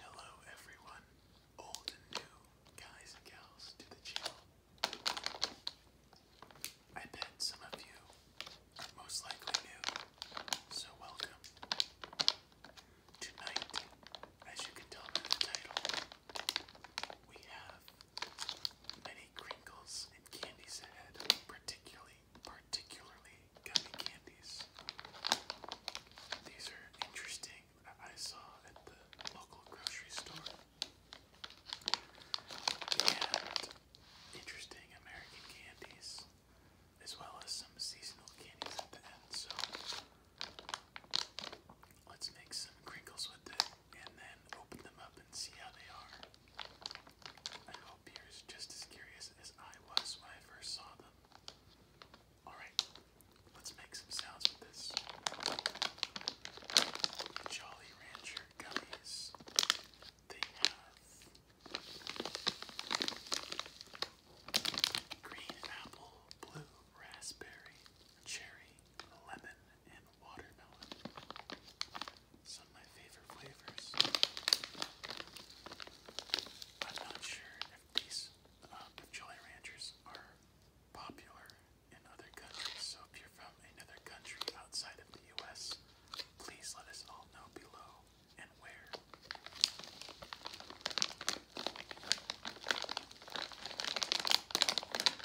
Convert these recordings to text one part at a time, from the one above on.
Hello everyone, old and new, guys and gals to the channel. I bet some of you are most likely new, so welcome. Tonight, as you can tell by the title, we have many crinkles and candies ahead, particularly particularly gummy candies. These are interesting I saw at the local grocery store. And interesting American candies as well as some seasonal candies at the end. So let's make some crinkles with it and then open them up and see how they are. I hope you're just as curious as I was when I first saw them. Alright, let's make some sounds with this. Jolly Rancher gummies. They have green apple, blue raspberry, cherry, lemon, and watermelon. Some of my favorite flavors. I'm not sure if these um, Ranchers are popular in other countries, so if you're from another country outside of the US, please let us all know below and where.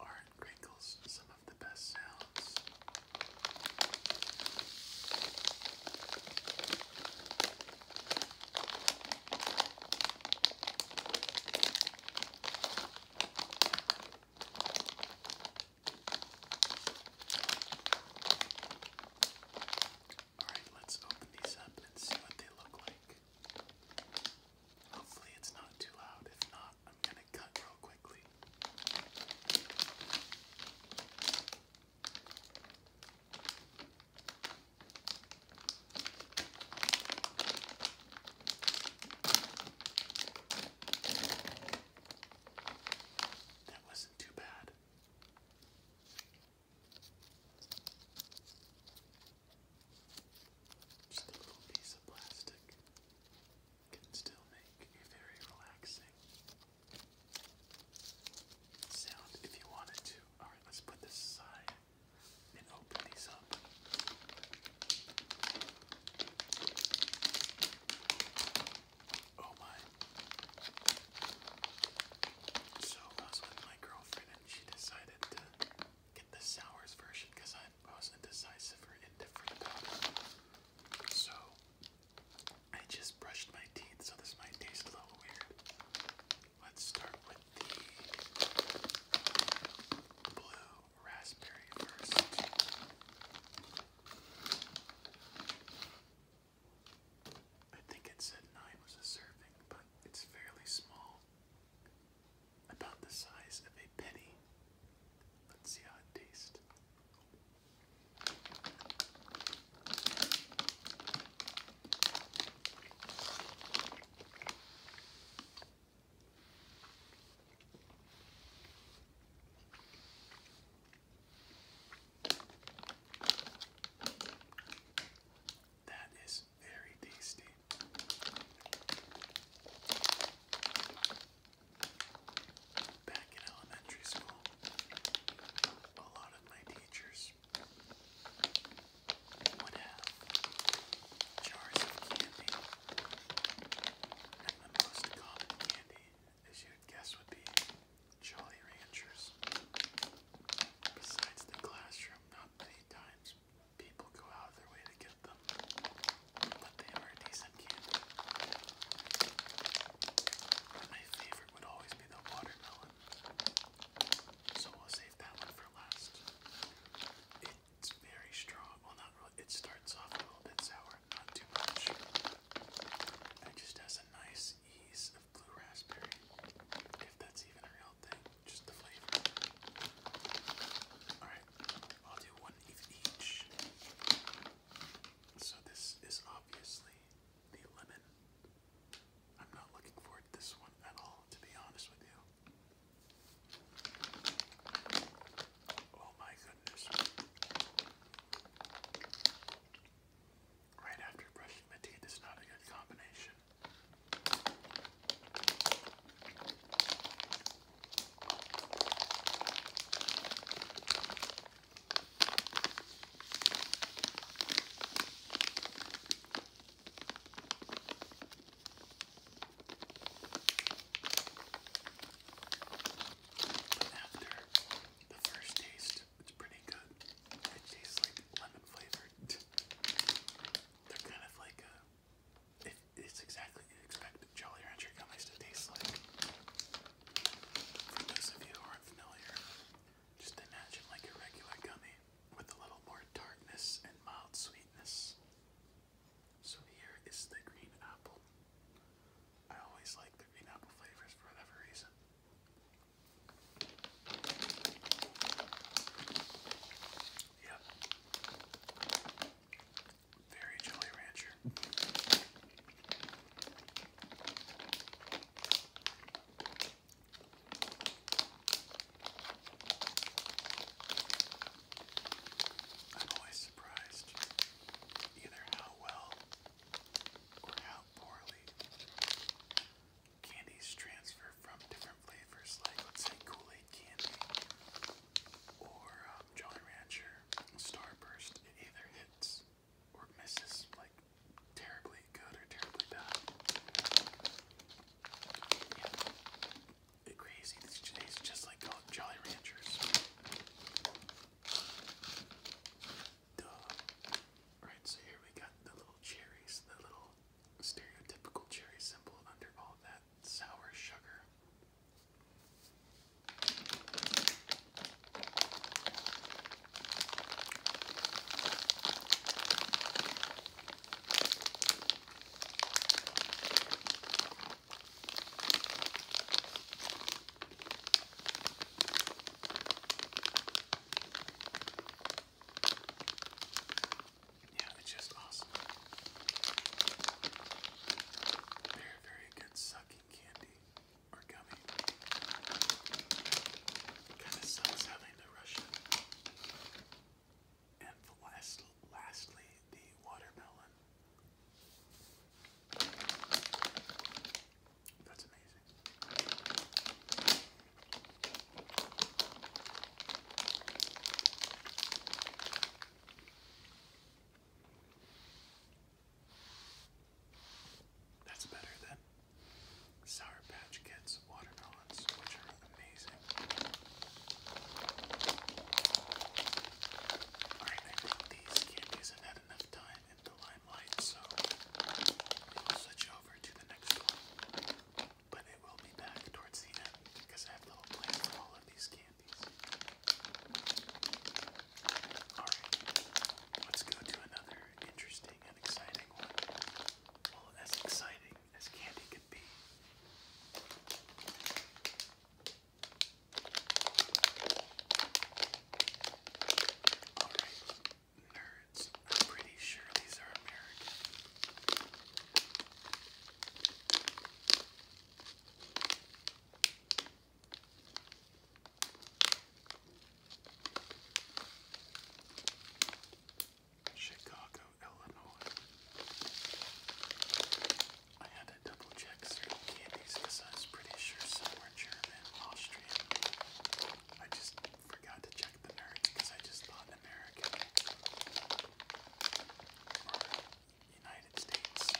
Aren't crinkles some all right, let's open these up and see what they look like. Hopefully, it's not too loud. If not, I'm gonna cut real quickly. That wasn't too bad. Just a little piece of plastic can still make a very relaxing sound if you wanted to. Alright, let's put this aside and open these up. Oh my. So I was with my girlfriend and she decided to get the sours version because I was indecisive or indifferent about it. So I just brushed my teeth, so this might taste a little weird. Let's start with the blue raspberry first. I think it said nine was a serving, but it's fairly small. About the size of a penny. Let's see how it tastes. That is very tasty. Back in elementary school, a lot of my teachers would have jars of candy. And the most common candy, as you'd guess, would be Jolly Ranchers. Besides the classroom, not many times people go out of their way to get them but they were a decent candy. my favorite would always be the watermelon, so we'll save that one for last. It's very strong. Well, not really. It starts off a little bit sour, not too much. It just has a nice ease of blue raspberry, if that's even a real thing. Just the flavor. All right, I'll do one each. So this is obviously the lemon. I'm not looking forward to this one at all, to be honest with you. Oh my goodness. Right after brushing my teeth is not a good combination after the first taste, it's pretty good. It tastes like lemon flavored. They're kind of like a it's exactly what you expect Jolly Rancher gummies to taste like. For those of you who aren't familiar, just imagine like a regular gummy with a little more tartness and mild sweetness. So here is the green apple. I always like the green apple flavors for whatever reason. Yep. Very Jolly Rancher. I'm always surprised either how well or how poorly candies transfer from different flavors, like say Kool-Aid candy or um, Jolly Rancher Starburst. It either hits or misses, like terribly good or terribly bad. Yeah. It crazy. It's just, it's just oh, Jolly Ranchers. Duh. Right, so here we got the little cherries, the little stereotypical cherry symbol under all that sour sugar. Yeah, it's just awesome very good sucking candy or gummy. Kind of sucks having to rush And last, lastly, the watermelon. That's amazing. That's better than Sour Patch Kids watermelons, which are amazing. Alright, these candies have had enough time in the limelight, so we'll switch over to the next one. But it will be back towards the because I have little plan for all of these candies. Alright, let's go to another interesting and exciting one. as exciting as candy could be. Alright, nerds, I'm pretty sure these are American. Chicago, Illinois. I had to double check certain candies because I was pretty sure some were German, Austrian. I just forgot to check the nerds because I just thought American United States.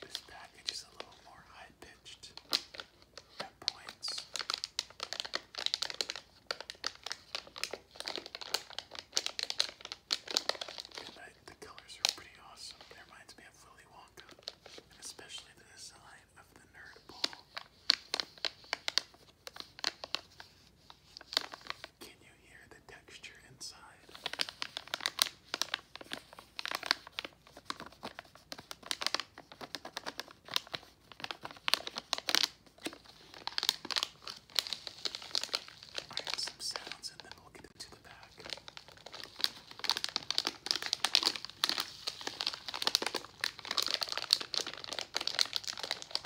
This package is a little more high pitched points. And I, the colors are pretty awesome. It reminds me of Willy Wonka, and especially the design of the nerd ball. Can you hear the texture inside? I have some sounds and then we into the back.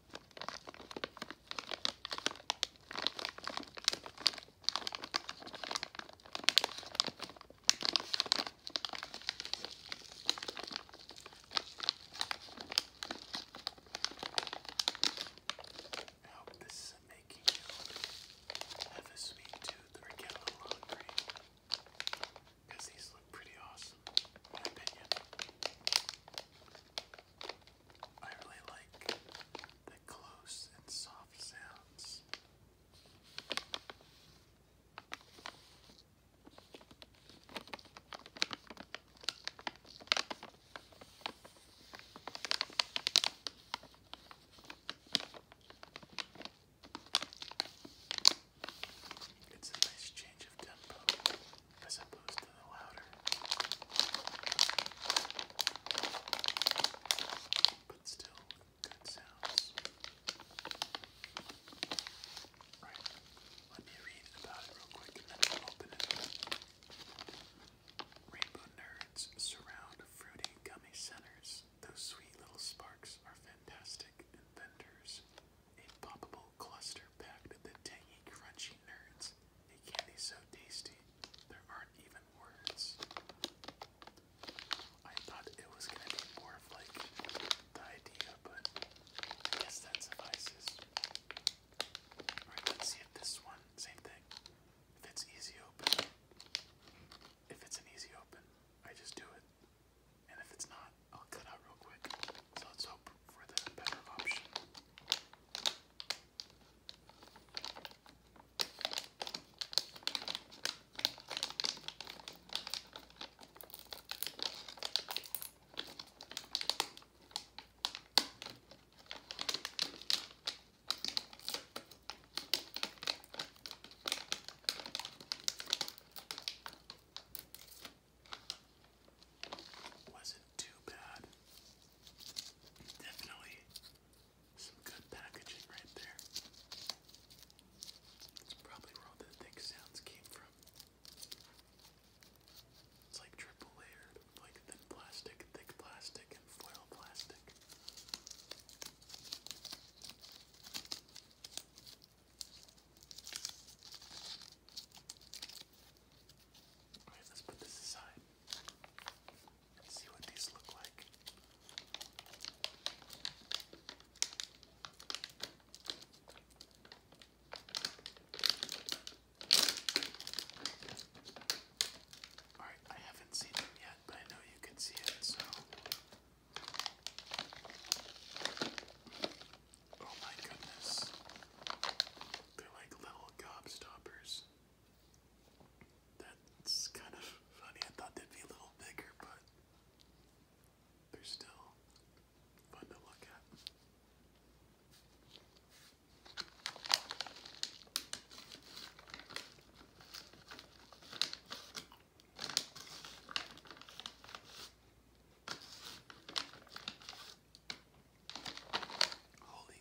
I hope this is making you have a sweet tooth or get a little hungry because these look pretty awesome, in my opinion. I really like the close and soft sounds. It's a nice change of tempo as opposed to the louder. But still, good sounds. Right, let me read about it real quick and then we'll open it Rainbow nerds surround fruity gummy centers. Those sweet little sparks are fantastic inventors. A poppable cluster packed with the tangy, crunchy nerds. A candy so tasty, there aren't even words. I thought it was gonna be more of like the idea, but I guess that suffices. Alright, let's see if this one, same thing. If it's easy open. If it's an easy open, I just do it. And if it's not, I'll cut out real quick. So let's hope for the better option. Wasn't too bad. Definitely some good packaging right there. That's probably where all the thick sounds came from. It's like triple layered, like thin plastic, thick plastic, and foil plastic let's put this aside and see what these look like. Alright, I haven't seen it yet, but I know you can see it, so. Oh my goodness. They're like little gobstoppers. That's kind of funny. I thought they'd be a little bigger, but they're still fun to look at. Holy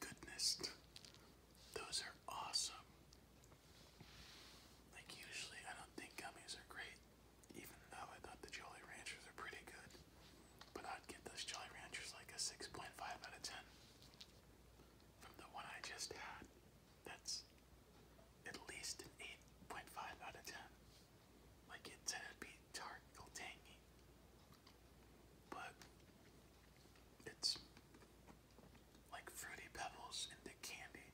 goodness, those are awesome. Like, usually, I don't think gummies are great, even though I thought the Jolly Ranchers are pretty good. But I'd give those Jolly Ranchers like a 6.5 out of 10 from the one I just had. That's at least an 8.5 out of 10. Like it to be tart or tangy, but it's like fruity pebbles into candy.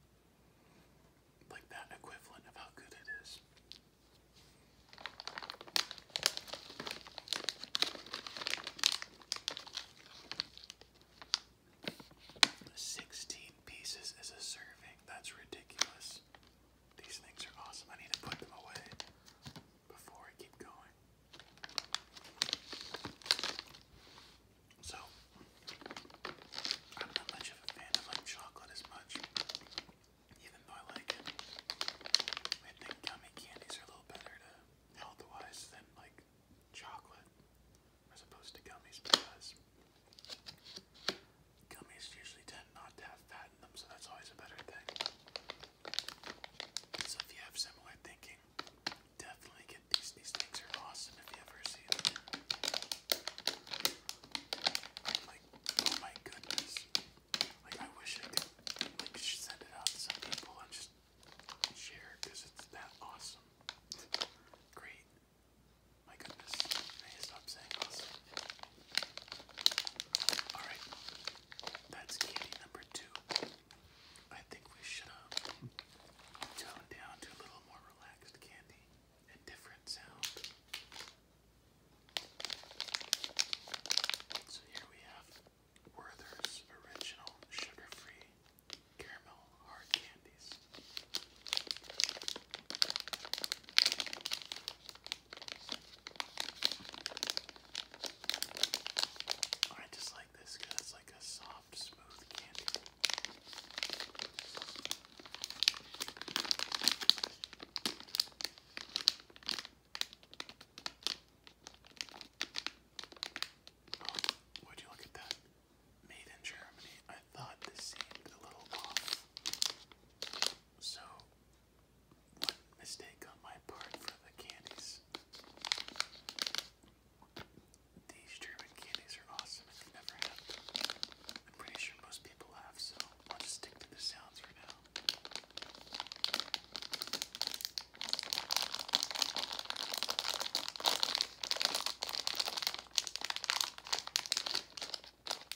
Like that equivalent of how good it is. Sixteen pieces is a serving. That's ridiculous. These things are awesome. I need to put them away before I keep going. So, I'm not much of a fan of like chocolate as much, even though I like it. I think gummy candies are a little better to health-wise than like chocolate as opposed to gummies because Gummies usually tend not to have fat in them, so that's always a better thing. So if you have similar thinking, definitely get these. These things are awesome if you ever see them. Like, oh my goodness. Like, I wish I could like send it out to people and just share because it's that awesome. Great. My goodness, I need to stop saying this. Alright, that's candy number two. I think we should have um, down to a little more relaxed candy and different sound. So here we have Werther's Original Sugar Free Caramel Hard Candies. I just like this it's like a soft, smooth candy. Oh, would you look at that? Made in Germany. I thought this seemed a little off. So, one mistake on my part for the candies. These German candies are awesome if you've never had I'm pretty sure most people have, so I'll stick to the sounds for now.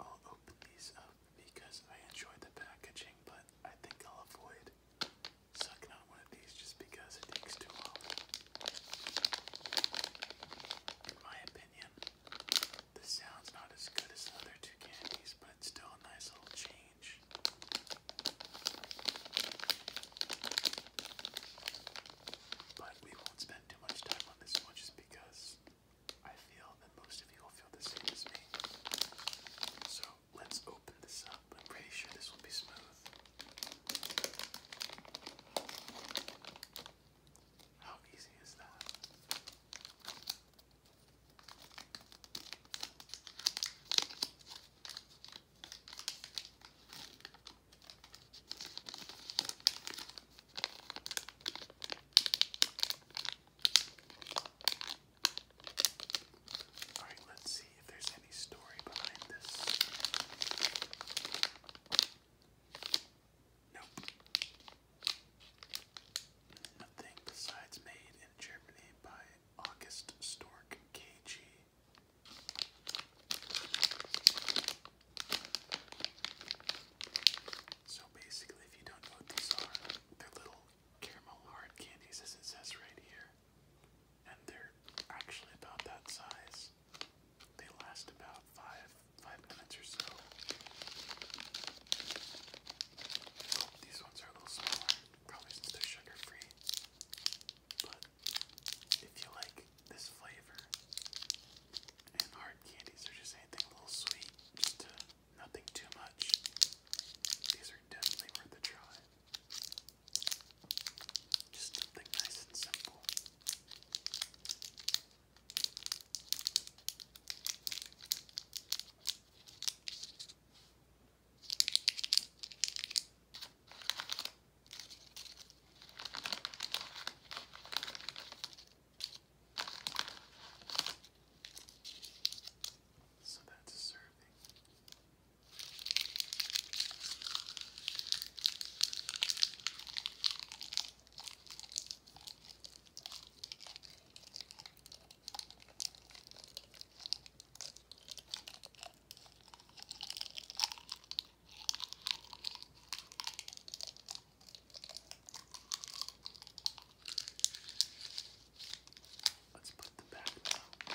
I'll open these up because I enjoy the packaging, but I think I'll avoid sucking on one of these just because it takes too long. In my opinion, this sound's not as good as the other two candies, but still a nice little change. But we won't spend too much time on this one just because I feel that most of you will feel the same as me. So let's open this up. I'm pretty sure this will be smooth. How easy is that? All right, let's see if there's any story behind this. Nope. Nothing besides made in Germany by August Stork KG. So basically, if you don't know what these are, they're little caramel hard candies, as it says right here. And they're actually about that size. They last about five, five minutes or so these ones are a little smaller, probably since they're sugar free. But if you like this flavor and hard candies or just anything a little sweet, just nothing too much, these are definitely worth a try. Just something nice and simple. So that's serving. Let's put them back now.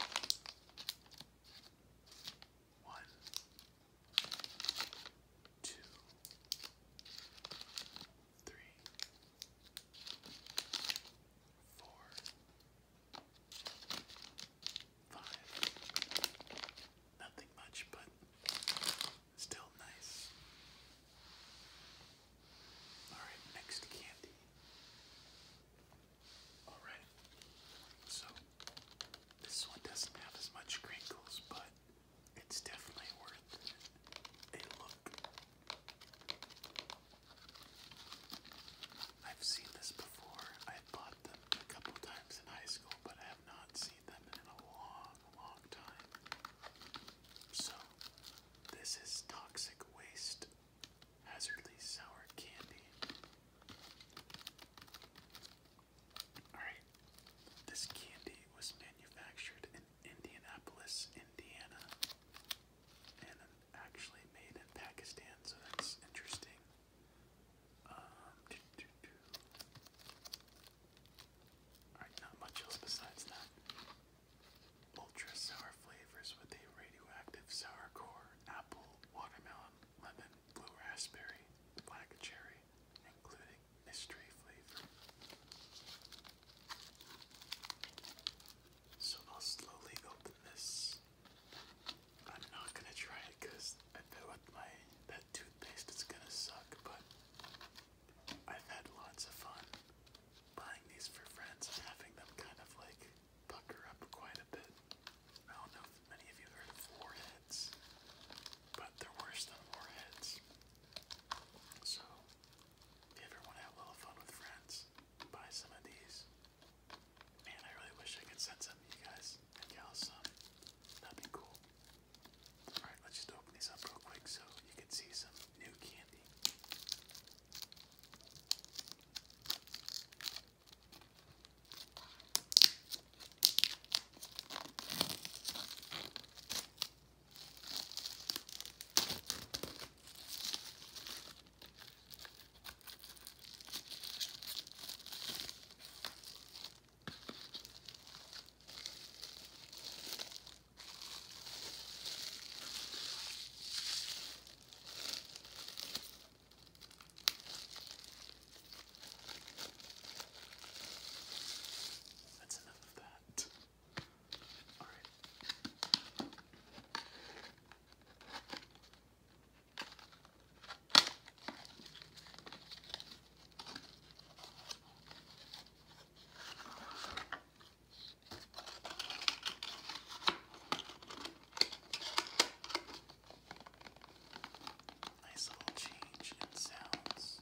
One, two, three, four, five. Nothing much, but still nice. Alright, next candy. Alright, so this one doesn't have as much crinkles, but it's definitely worth a look. I've seen this before. I bought them a couple times in high school, but I have not seen them in a long, long time. So, this is Toxic Waste Hazardly Sour Candy. Alright, this candy was manufactured in Indianapolis, Indiana, and actually made in Pakistan, so that's interesting. Um, Alright, not much else besides that. Ultra sour flavors with a radioactive sour core, apple, watermelon, lemon, blue raspberry, black cherry, including mystery flavor. So I'll slowly open this. I'm not gonna try it I bet with my that toothpaste it's gonna suck, but I've had lots of fun buying these for friends and having them kind of like pucker up quite a bit. I don't know if many of you heard of warheads, but they're worse than warheads. So if you ever a little fun with friends, buy some of these. Man, I really wish I could send some to you guys and y'all some. That'd be cool. Alright, let's just open these up real quick so you can see some new candy. That's enough of that. All right. Nice little change in sounds.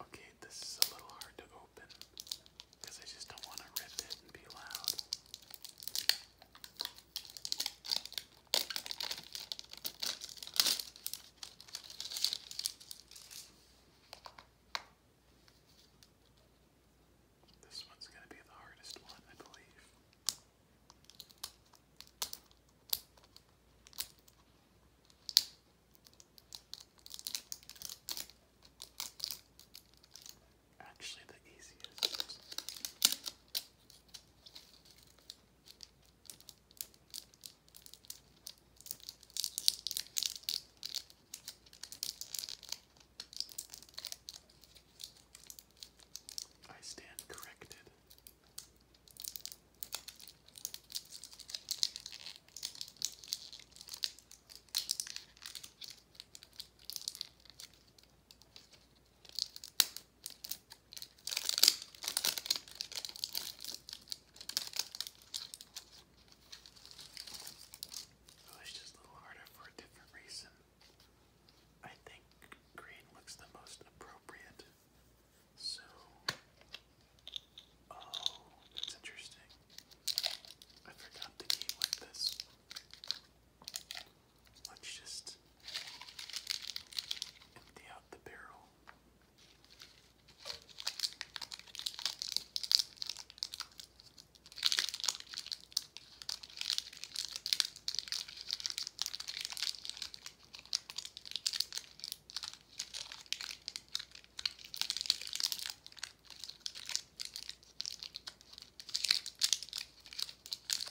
Okay, this is a little hard to open because I just don't want to rip it and be loud. This one's going to be the hardest one, I believe. Actually, the easiest. I stand corrected. Oh, it's just a little harder for a different reason. I think green looks the most appropriate. So, oh, that's interesting. I forgot to keep with this. Let's just Empty out the barrel.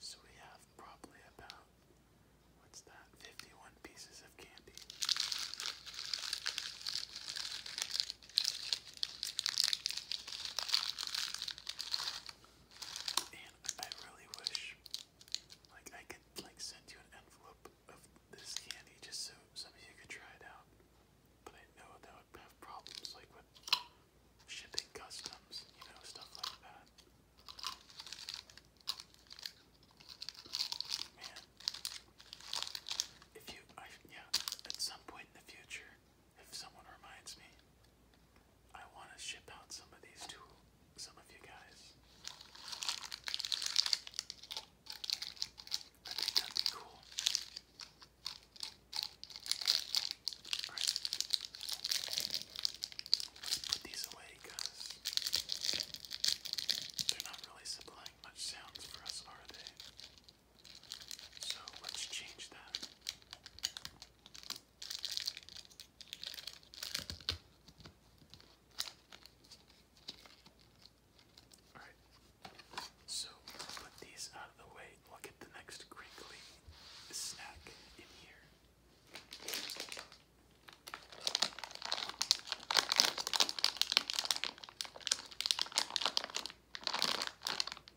So we have probably about, what's that, 51 pieces of candy. And I really wish, like, I could, like, send you an envelope of this candy just so some of you could try it out. But I know that would have problems, like, shipping customs, you know, stuff like that. Man, if you, I, yeah, at some point in the future, if someone reminds me, I want to ship out some of these to some of you guys. I think that'd be cool. Alright. Let's put these away because they're not really supplying much sounds for us, are they? So let's change that. Alright, so put these out of the way we'll get the next crinkly snack in here.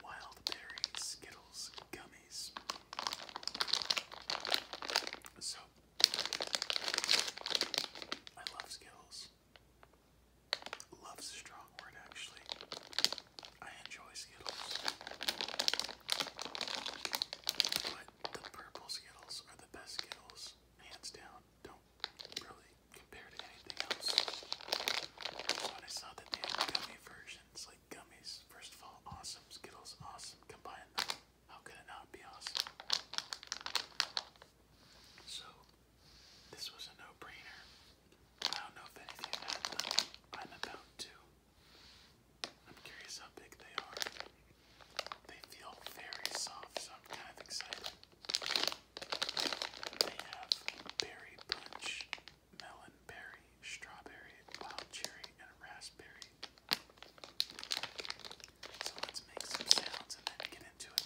Wild Berry Skittles Gummies. So, I love Skittles. Love's a strong word, actually. I enjoy Skittles, but the purple Skittles are the best Skittles, hands down. Don't really compare to anything else. But I saw that they had gummy versions, like gummies. First of all, awesome Skittles, awesome. Combine How could it not be awesome? So, this was a no-brainer. I don't know if any of you I'm about to. I'm curious how big they are. They feel very soft, so I'm kind of excited. They have berry punch, melon berry, strawberry, wild cherry, and raspberry. So let's make some sounds and get into it.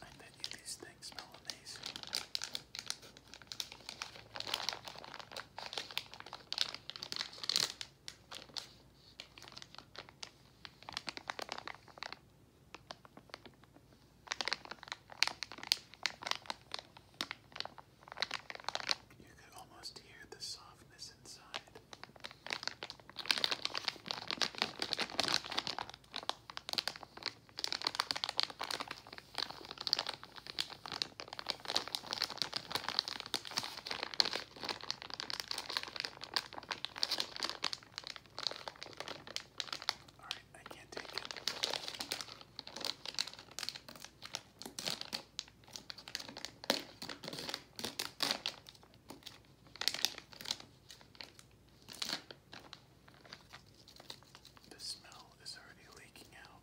I bet you these things smell amazing. You could almost hear the softness inside. All right, I can't take it. The smell is already leaking out.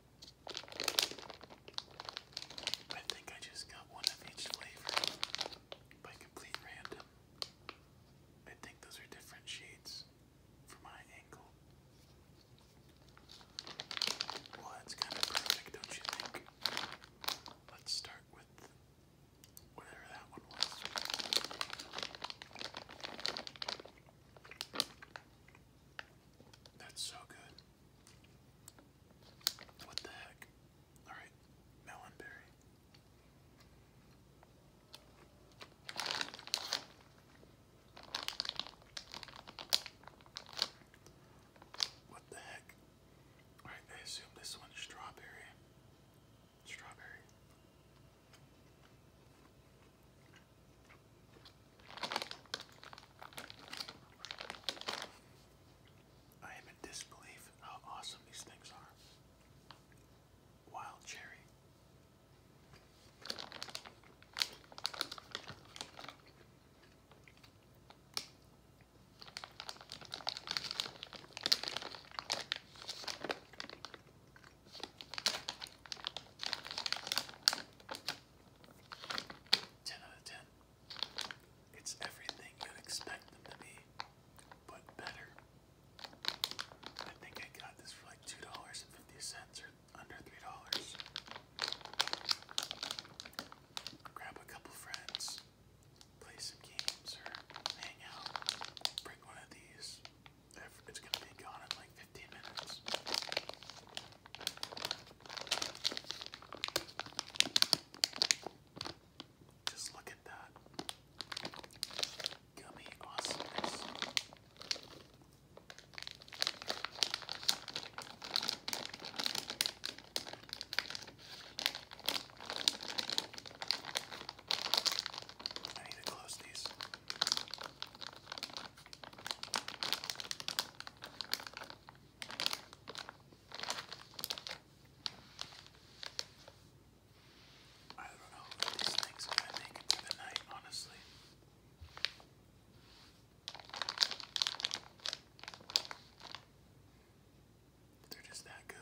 I think I just got one of each flavor by complete random. I think those are different shades for my angle. Well, that's kind of perfect, don't you think? Let's start with whatever that one was. That's so good. What the heck? Alright, melon berry. What the heck? Alright, I assume this one's strawberry. Strawberry. I am in disbelief how awesome these things are. Wild cherry. 10 out of 10. It's everything you'd expect them to be, but better. I think I got this for like $2.50 or under $3. Grab a couple friends, play some games, or hang out. Bring one of these. It's gonna be gone in like just look at that. Gummy awesomeness. I need to close these. I don't know if these things are gonna make it through the night, honestly. They're just that good.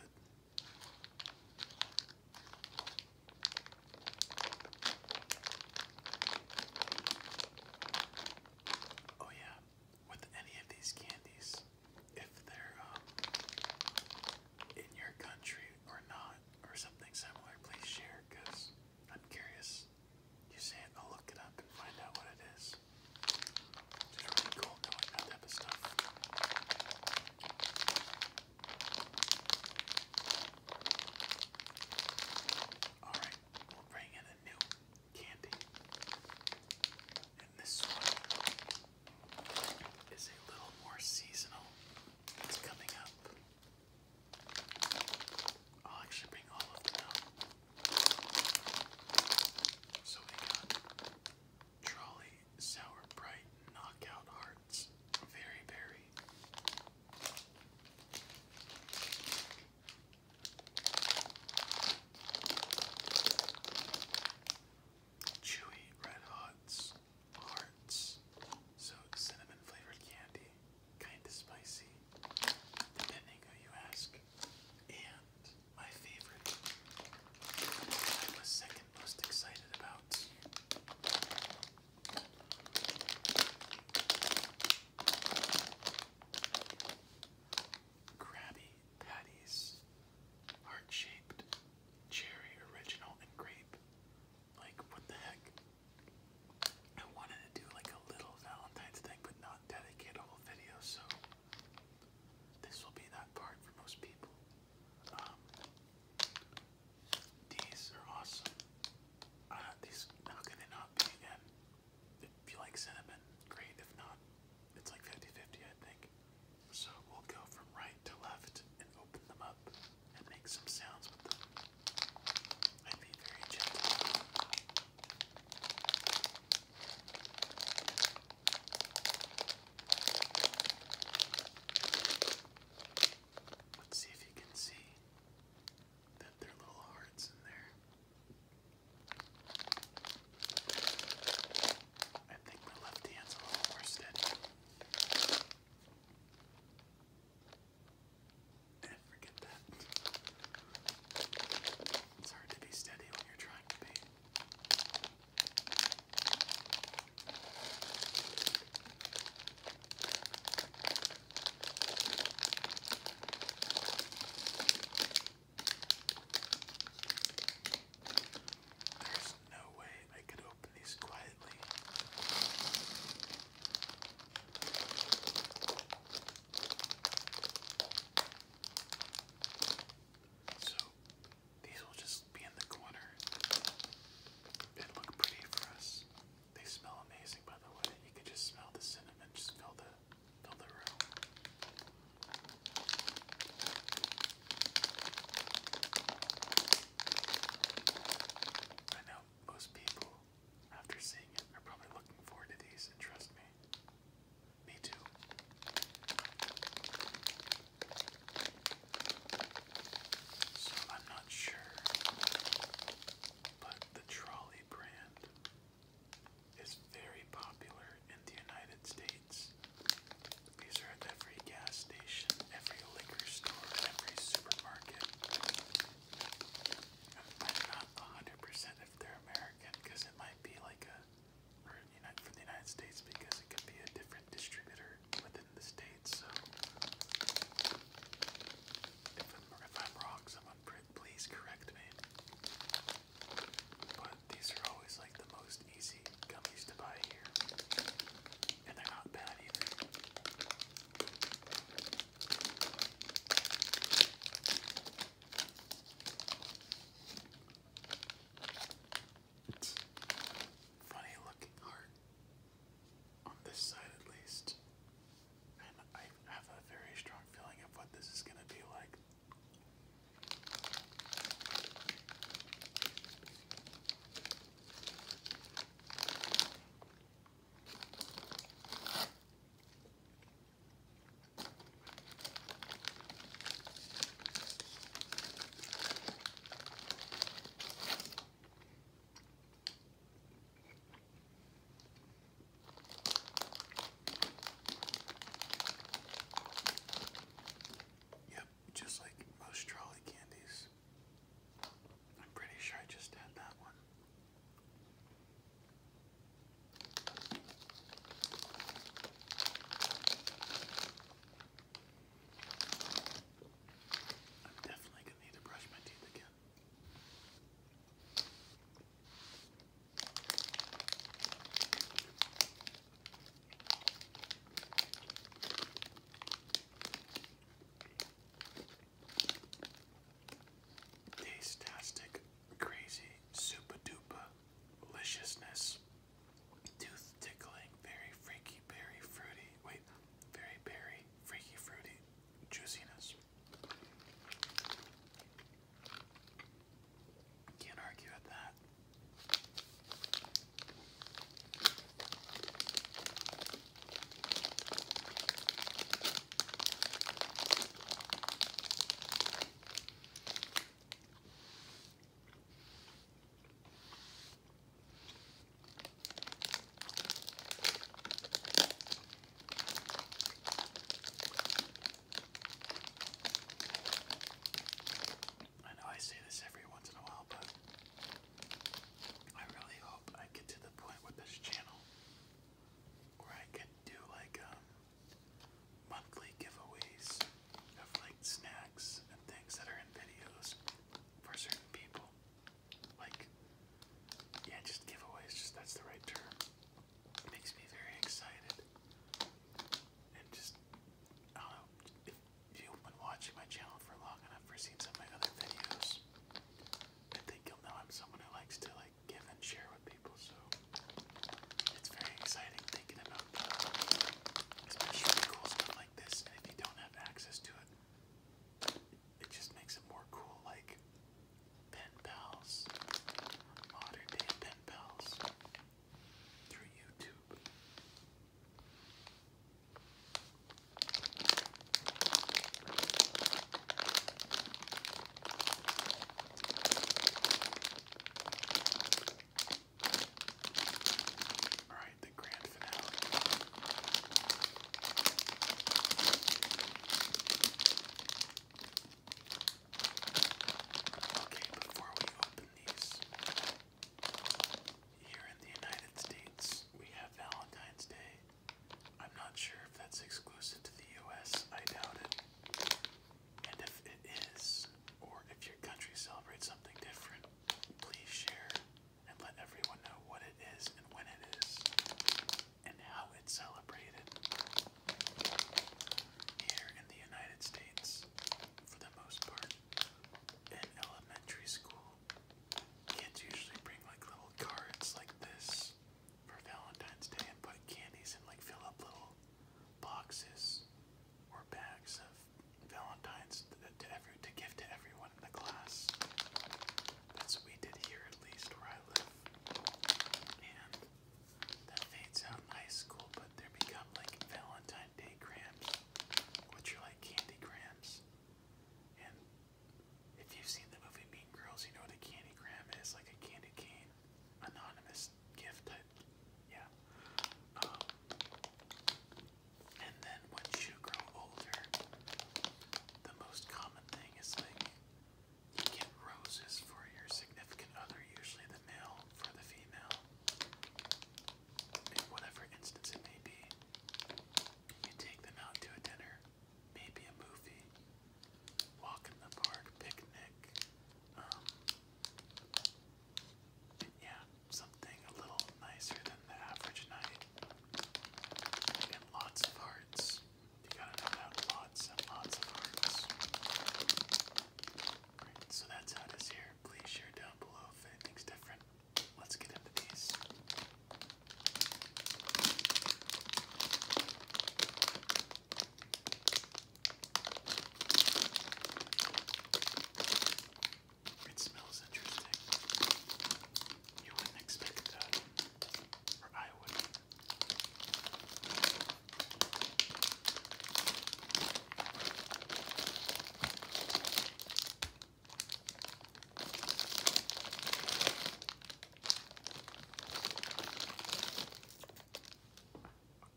Oh yeah, with any of these candies, if they're um, in your country or not, or something similar, please share because I'm curious. You say it, I'll look it up and find out what it is. It's really cool knowing that stuff. Alright, we'll bring in a new candy. And this one is a little more seasonal. It's coming up. I'll actually bring all of them So we got Trolley, Sour Bright, Knockout Hearts, Very Berry, Chewy Red Hots Hearts. So cinnamon flavored candy, kinda spicy, depending who you ask. And my favorite, I was second most excited about Krabby Patties. Heart shaped. Cherry original and grape. Like, what the heck? I wanted to do like a little Valentine's thing, but not dedicate whole video, so this will be that part for most people. Um, these are awesome. these how can they not be again? If you like cinnamon, great. If not, it's like 50 I think. So we'll go from right to left and open them up and make some sounds with them. i be very gentle. Let's see if you can see that their little hearts in there. I think my left hand's a little more steady. And eh, forget that. It's hard to be steady when you're trying to be. There's no way I could open these quietly. So these will just be in the corner and look pretty for us. They smell amazing, by the way. You could just smell the cinnamon. Just fill the fill the room. I know most people, after seeing it, are probably looking forward to these, and trust me, me too. So I'm not sure but the Trolley brand is very popular in the United States. These are at every gas station, every liquor store, every supermarket. I'm not 100% if they're American because it might be like a, or United, from the United States because it could be a different distributor within the States. So if I'm, wrong, someone please correct me. But these are always like the most easy gummies to buy here. And they're not bad either. Funny looking heart on this side at least. And I have a very strong feeling of what this is going to be like. Yep, just like most trolley candies. I'm pretty sure I just had that one. I'm definitely going to need to brush my teeth again. Tastastic, crazy, super duper, deliciousness, tooth tickling, very freaky, berry fruity. Wait, very berry, freaky fruity, juiciness. Can't argue with that. I know I say this every once in a while, but I really hope I get to the point with this channel where I can do like um, monthly giveaways of like snacks and things that are in videos for certain people like yeah, just giveaways, just that's the right term. makes me very excited. And just I don't know, if you've been watching my channel for long enough or seen some of my other videos, I think you'll know I'm someone who likes to like give and share with people, so it's very exciting thinking about that. Especially cool stuff like this, and if you don't have access to it, it just makes it more cool, like pen pals, modern day pen pals through YouTube. All right, the Grand Okay, before we open these, here in the United States, we have Valentine's Day. I'm not sure if that's exclusive to the US, I doubt it. And if it is, or if your country celebrates something different, please share and let everyone know what it is and when it is and how it's celebrated here in the United States for the most part in elementary school kids usually bring like little cards like this for Valentine's Day and put candies and like fill up little boxes or bags of Valentine's to, every, to give to everyone the class. That's what we did here, at least where I live. And that fades out in high school, but they become like Valentine Day cramps, which are like candy cramps. And if you've seen the movie Mean Girls, you know what a candy gram is, like a candy cane, anonymous gift Yeah. Um, and then once you grow older, the most common thing is like you get roses for your significant other, usually the male for the female. In whatever instance it may be, you take them out to a dinner, maybe a movie, walk in the park, picnic, um, yeah, something a little nicer than the average night lots of hearts. You gotta know lots and lots of hearts. so that's how it is here. Please share down below if anything's different. Let's get into these. It smells interesting you wouldn't expect that, or I wouldn't.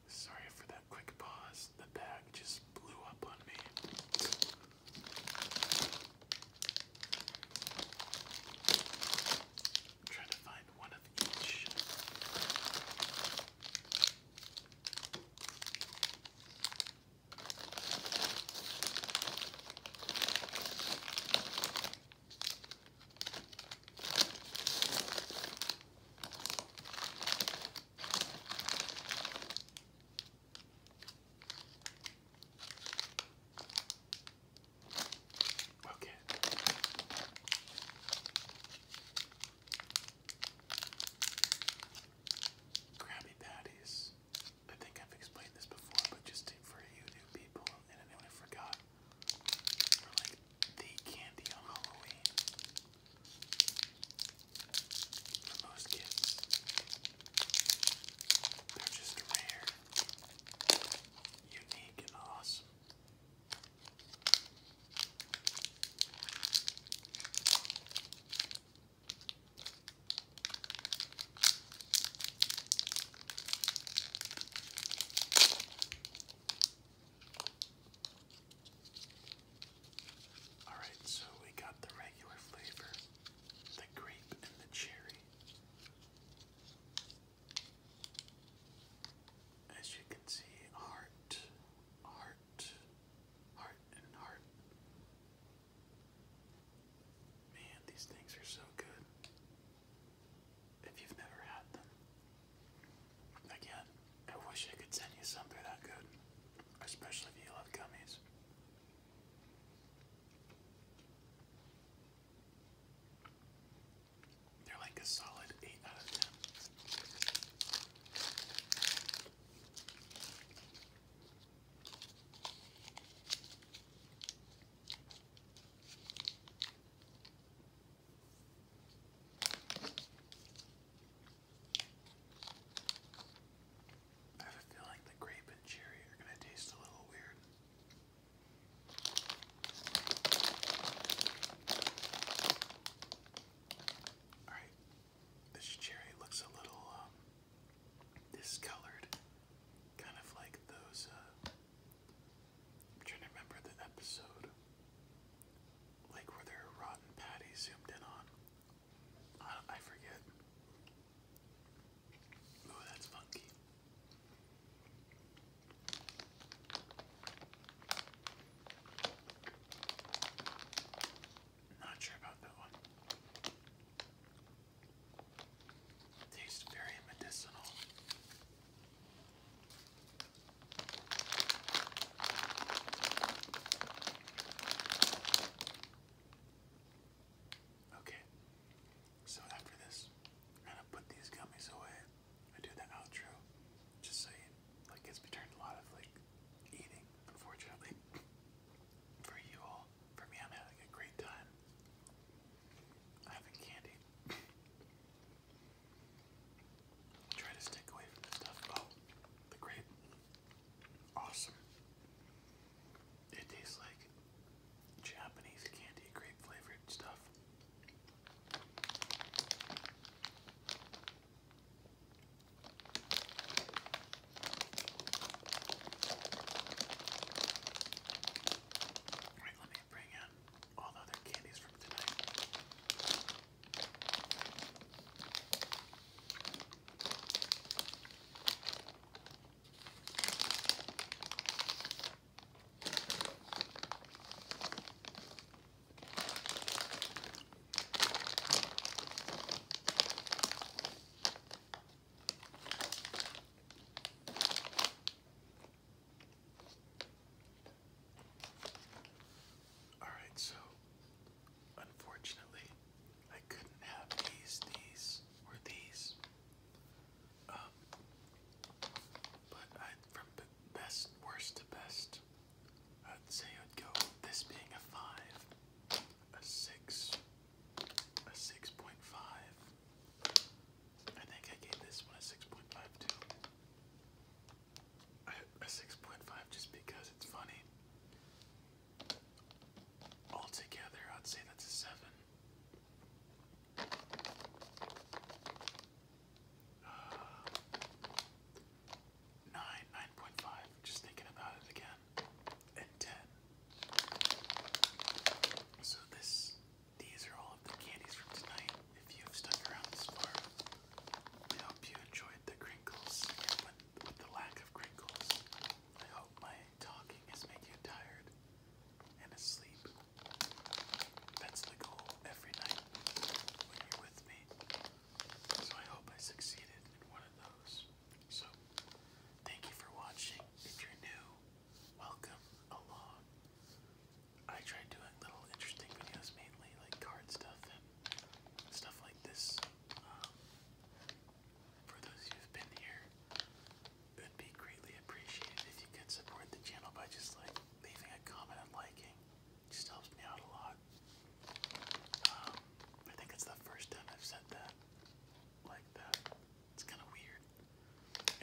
Sorry for that quick pause. The bag just blew up on me. I'm trying to find one of each. Okay. Krabby Patties. I think I've explained this before, but just for you new people and anyone who forgot, are like the candy on Halloween. For most they're just rare, unique, and awesome. All right, so we got the regular flavor the grape and the cherry. As you can see, heart, heart, heart, and heart. Man, these things are so good. If you've never had them, again, I wish I could send you some. that good, especially if you love gummies. They're like a solid 8 out of 10. I have a feeling the grape and cherry are going to taste a little weird. Alright, this cherry looks a little um, discolored. Kind of like those, uh, trying to remember the episode. Like where there rotten patties zoomed in on. I, forget. Oh, that's funky. Not sure about that one. Tastes very medicinal. Okay, so after this, I'm gonna put these gummies away. I do the outro, just so you, like, it's returned a lot of, like, eating, unfortunately. For you all, for me, I'm having a great time. I'm having candy. Try to stick away from the stuff. Oh, the grape. Awesome. It tastes like Japanese candy grape flavored stuff. Alright, let me bring in all other candies from tonight. All right, so unfortunately, I couldn't have these, these, or these. Um, but I, from best, worst to best, I'd say I'd go this being a five, a six, a six point five. I think I gave this one a six point five a six point five just because it's funny. Altogether, I'd say that's a seven. Uh, nine, nine point five. Just thinking about it again, and ten. So this, these are all of the candies from tonight. If you have stuck around this far, I hope you enjoyed the crinkles with the lack of crinkles, I hope my talking has made you tired and asleep. That's the goal every night when you're with me. So I hope I succeeded in one of those. So thank you for watching. If you're new, welcome along. I try doing little interesting videos mainly like card stuff and stuff like this. Um, for those who've been here, it would be greatly appreciated if you could support the channel by just like leaving a comment and liking. It just helps me out a lot. Um, I think it's the first time I've said that like that. It's kind of weird.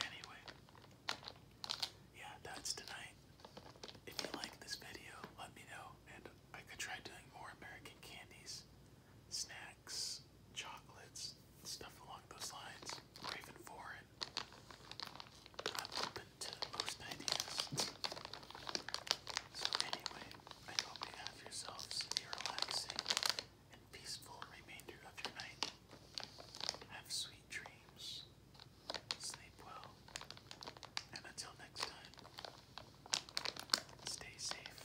Anyway, yeah, that's tonight. If you like this video, let me know, and I could try doing more American candies, snacks snacks, chocolates, stuff along those lines, or even foreign. I'm open to most ideas. So anyway, I hope you have yourselves a relaxing and peaceful remainder of your night. Have sweet dreams, sleep well, and until next time, stay safe.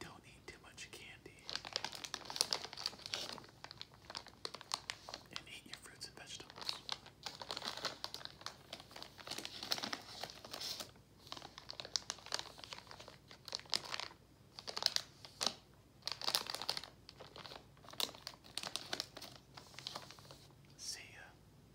Don't eat too much candy. And eat your fruits and vegetables. See ya.